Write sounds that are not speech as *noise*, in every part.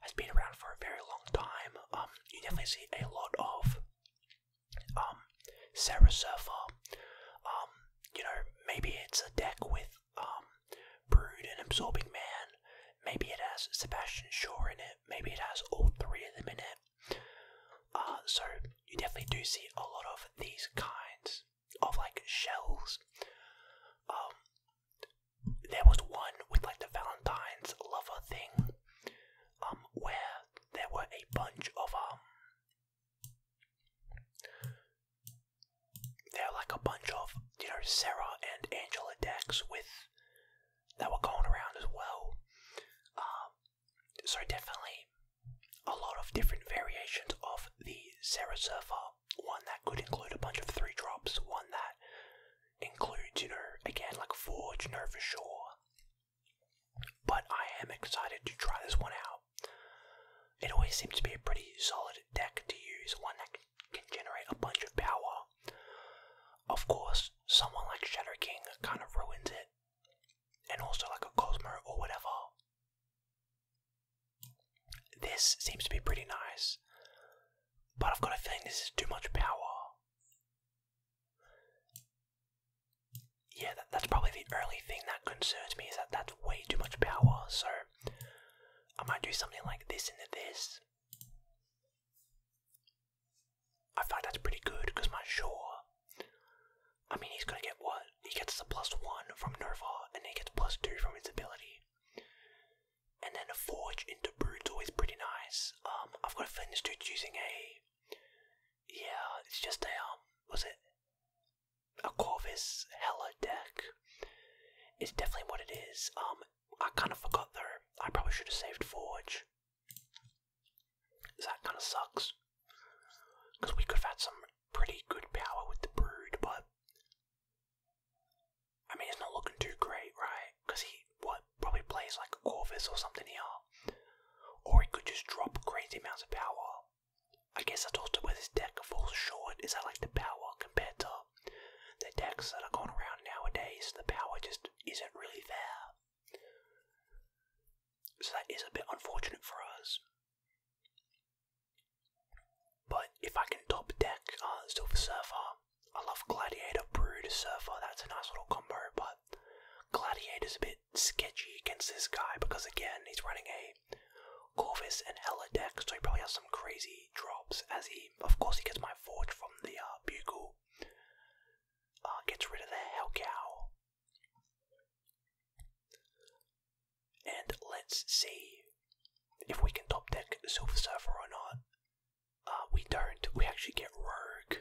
has been around for a very long time. Um, you definitely see a lot of um, Sarah Surfer. Um, you know, maybe it's a deck with um, Brood and Absorbing Man. Maybe it has Sebastian Shaw in it. Maybe it has all three of them in it. Uh, so you definitely do see a lot of these kinds of like shells. Um, there was one with like the Valentine's lover thing, um, where there were a bunch of um, there were like a bunch of you know Sarah and Angela decks with that were going around as well. Um, so definitely a lot of different variations of the Sarah Surfer. One that could include a bunch of three drops. One that includes, you know, again, like Forge, no for sure. But I am excited to try this one out. It always seems to be a pretty solid deck to use, one that can generate a bunch of power. Of course, someone like Shadow King kind of ruins it, and also like a Cosmo or whatever. This seems to be pretty nice. But I've got a feeling this is too much power. Yeah, that's probably the only thing that concerns me is that that's way too much power. So I might do something like this into this. I feel that's pretty good because my sure, I mean, he's gonna get what? He gets the plus one from Nerva, and he gets plus two from his ability. And then a forge into brutal is pretty nice. Um, I've got a finish this dude's using a. Yeah, it's just a um, was it a Corvus Hella deck? It's definitely what it is. Um, I kind of forgot though. I probably should have saved forge. that kind of sucks. Because we could have had some pretty good power with the brood, but I mean, he's not looking too great, right? Because he what probably plays like Corvus or something here, or he could just drop crazy amounts of power. I guess that's also where this deck falls short. Is that like the power compared to the decks that are going around nowadays? The power just isn't really there. So that is a bit unfortunate for us. But if I can top deck uh, Silver Surfer, I love Gladiator, Brood, Surfer, that's a nice little combo, but Gladiator's a bit sketchy against this guy because, again, he's running a Corvus and Hella deck, so he probably has some crazy drops as he, of course, he gets my Forge from the uh, Bugle, uh, gets rid of the Hellcow. And let's see if we can top deck Silver Surfer or not. Uh, we don't. We actually get rogue.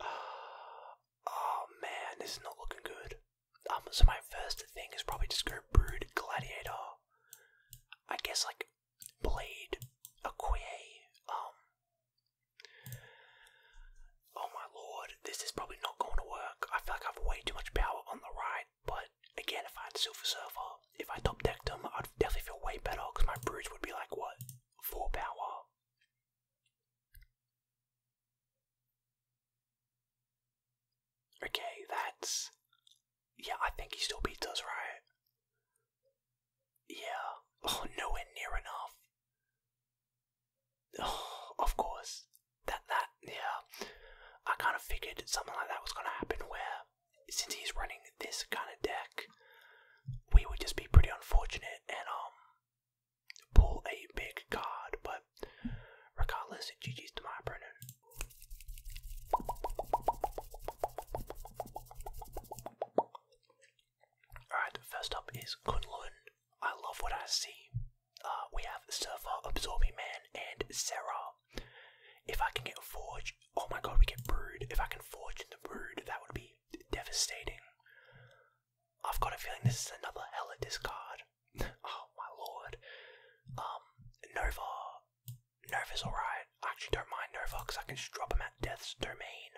Uh, *gasps* oh man, this is not looking good. Um, so my first thing is probably just go brood gladiator. I guess like blade, Okoye, um. Oh my lord, this is probably not going to work. I feel like I've way too much power on the right, but again, if I had Silver Surfer, if I top decked him, I'd definitely feel way better because my Bruise would be like, what, 4 power? Okay, that's. Yeah, I think he still beats us, right? Yeah. Oh, nowhere near enough. Oh, *sighs* of course. That, that, yeah. I kind of figured something like that was gonna happen where since he's running this kind of deck, we would just be pretty unfortunate and um pull a big card. But regardless, GG's to my Brennan. Alright, first up is Kunlun. I love what I see. Uh, we have Surfer, Absorbing Man, and Sarah. If I can get forge, oh my god, we get brood. If I can forge in the brood, that would be devastating. I've got a feeling this is another hella discard. oh my lord. Um, Nova. is alright. I actually don't mind Nova because I can just drop him at Death's Domain.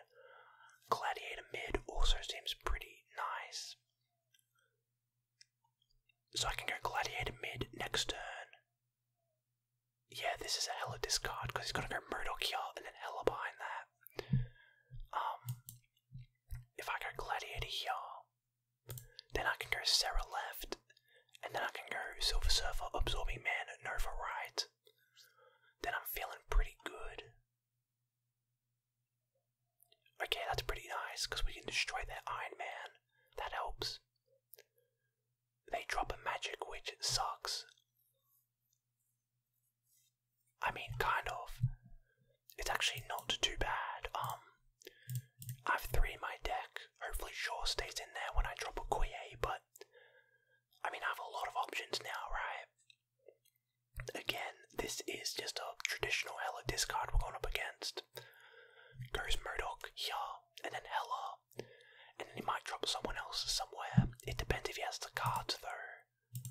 Gladiator mid also seems pretty nice. So I can go Gladiator mid next turn. Yeah, this is a hella discard because he's gonna go Murdoch here and then hella behind that. Um, if I go Gladiator here, then I can go Sarah left, and then I can go Silver Surfer absorbing man Nova right. Then I'm feeling pretty good. Okay, that's pretty nice because we can destroy that Iron Man. That helps. They drop a magic which sucks. I mean, kind of. It's actually not too bad. Um, I have three in my deck. Hopefully, Shaw stays in there when I drop a Koye, but I mean, I have a lot of options now, right? Again, this is just a traditional Hella discard we're going up against. Goes Murdoch here, and then Hella and then he might drop someone else somewhere. It depends if he has the card, though.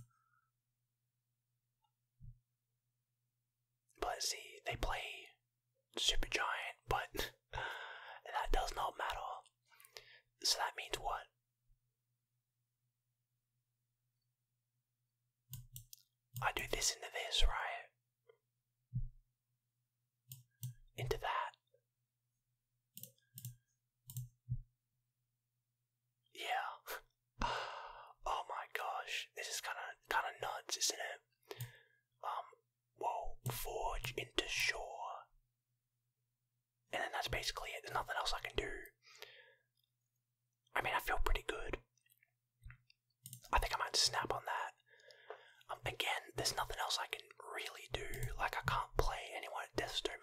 But see, they play Super Giant, but *laughs* that does not matter. So that means what? I do this into this, right? Into that. Yeah. *sighs* oh my gosh, this is kind of kind of nuts, isn't it? Um. Whoa. Forge into shore. And then that's basically it. There's nothing else I can do. I mean, I feel pretty good. I think I might snap on that. Um, again, there's nothing else I can really do. Like, I can't play anyone at Death's Domain.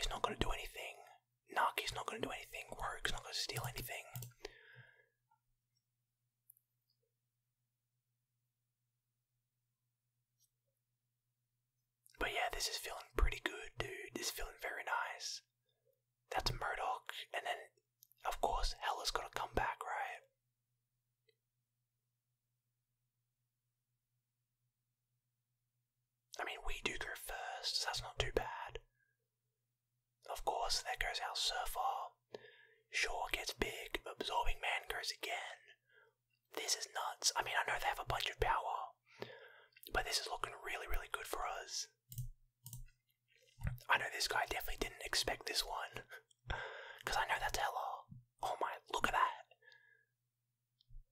is not going to do anything. Naki's not going to do anything. Rogue's not going to steal anything. But yeah, this is feeling pretty good, dude. This is feeling very nice. That's Murdoch, and then of course, Hella's got to come back, right? I mean, we do go first, so that's not too bad. Of course, there goes our Surfer. Shaw gets big, Absorbing Man goes again. This is nuts. I mean, I know they have a bunch of power, but this is looking really, really good for us. I know this guy definitely didn't expect this one. Because *laughs* I know that's hella. Oh my, look at that.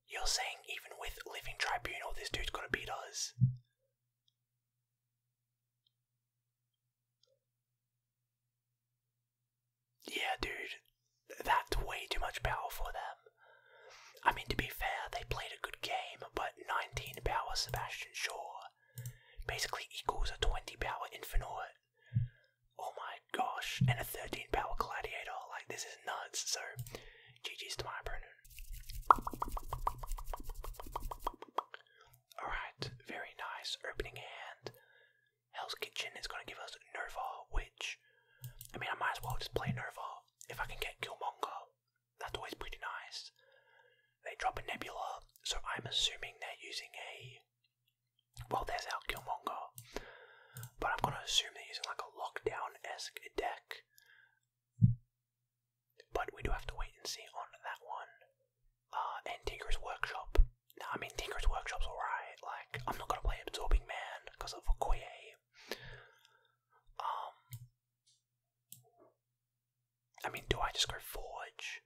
You're saying even with Living Tribunal, this dude's gonna beat us. Yeah, dude. That's way too much power for them. I mean, to be fair, they played a good game, but 19 power Sebastian Shaw Basically equals a 20 power Infernorte. Oh my gosh, and a 13 power Gladiator. Like, this is nuts. So, GG's to my opponent. Alright, very nice opening hand. Hell's Kitchen is going to give us Nerva. which, I mean, I might as well just play Nerva If I can get Killmonger, that's always pretty nice. They drop a Nebula, so I'm assuming they're using a well, there's out Killmonger. But I'm gonna assume they're using like a lockdown-esque deck. But we do have to wait and see on that one. Uh, Tinker's Workshop. Now, I mean, Tinker's Workshop's alright. Like, I'm not gonna play Absorbing Man because of a Koye. Um, I mean, do I just go forge?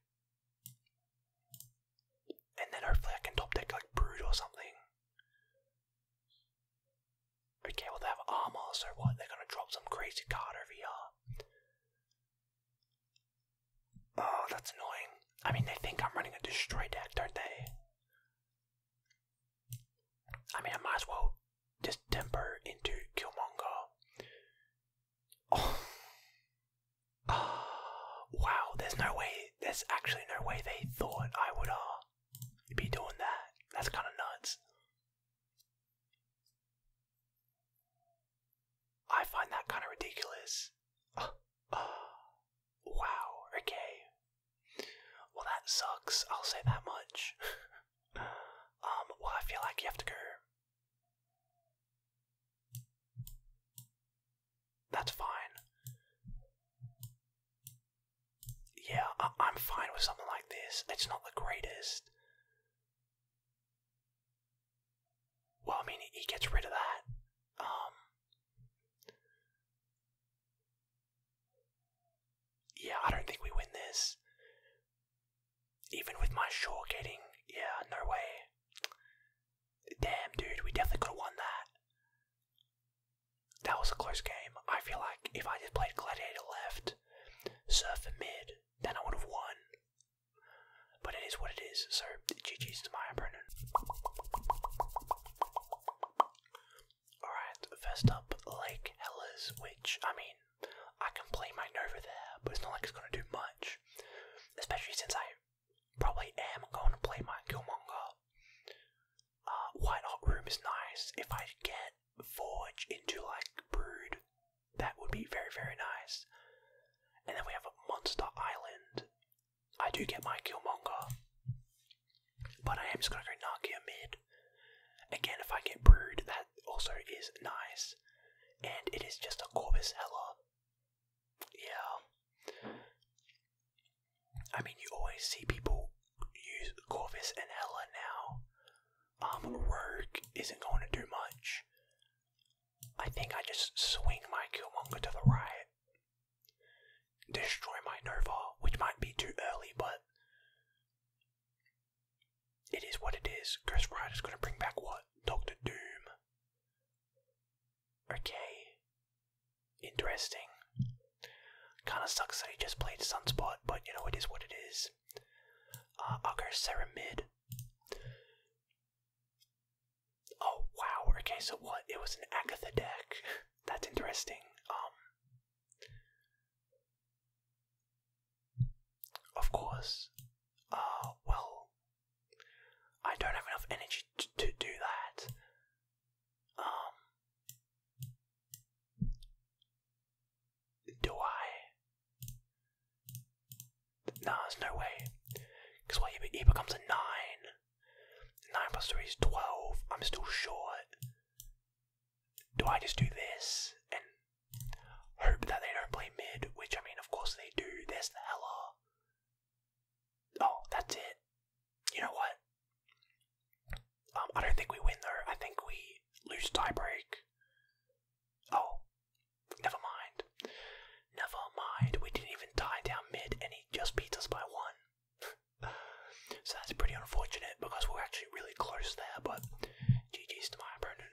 And then hopefully I can top deck like brood or something. Okay, well they have armor, so what? They're gonna drop some crazy card over here. Oh, that's annoying. I mean, they think I'm running a destroy deck, don't they? I mean, I might as well just temper into Killmonger. Oh. *sighs* oh. Wow, there's no way, there's actually no way they thought I would uh, be doing that. That's kind of nuts. I find that kind of ridiculous. Uh, *sighs* uh, wow, okay. Well, that sucks, I'll say that much. *laughs* um, well, I feel like you have to go that's fine. Yeah, I am fine with something like this. It's not the greatest. Well, I mean, he gets rid of that. Um, yeah, I don't think we win this. Even with my Shaw getting, yeah, no way. Damn, dude, we definitely could have won that. That was a close game. I feel like if I just played Gladiator left, Surfer mid, then I would have won. But it is what it is, so GG's to my opponent. Alright, first up, Lake Hellas, which, I mean, I can play my Nova there, but it's not like it's going to do much especially since I probably am going to play my Killmonger. Uh, White Hot Room is nice. If I get Forge into like Brood, that would be very, very nice. And then we have a Monster Island. I do get my Killmonger, but I am just gonna go Nakia mid. Again, if I get Brood, that also is nice and it is just a Corvus Hella. Yeah. I mean, you always see people use Corvus and Hella now. Um, Rogue isn't going to do much. I think I just swing my Killmonger to the right. Destroy my Nova, which might be too early, but it is what it is. Ghost is gonna bring back what? Doctor Doom. Okay. Interesting. Kinda sucks that he just played Sunspot, but you know, it is what it is. Uh, I'll go Oh, wow. Okay, so what? It was an Agatha deck. *laughs* That's interesting. Um. Of course. Uh, well, I don't have enough energy to, do that. Um, do I? Nah, there's no way. Because what, he becomes a 9. 9 plus 3 is 12. I'm still short. Do I just do this Hope that they don't play mid, which I mean, of course they do. There's the Hella. Oh, that's it. You know what? Um, I don't think we win though. I think we lose tiebreak. Oh, never mind. Never mind. We didn't even tie down mid, and he just beats us by one. *laughs* so that's pretty unfortunate because we we're actually really close there. But GG's to my opponent.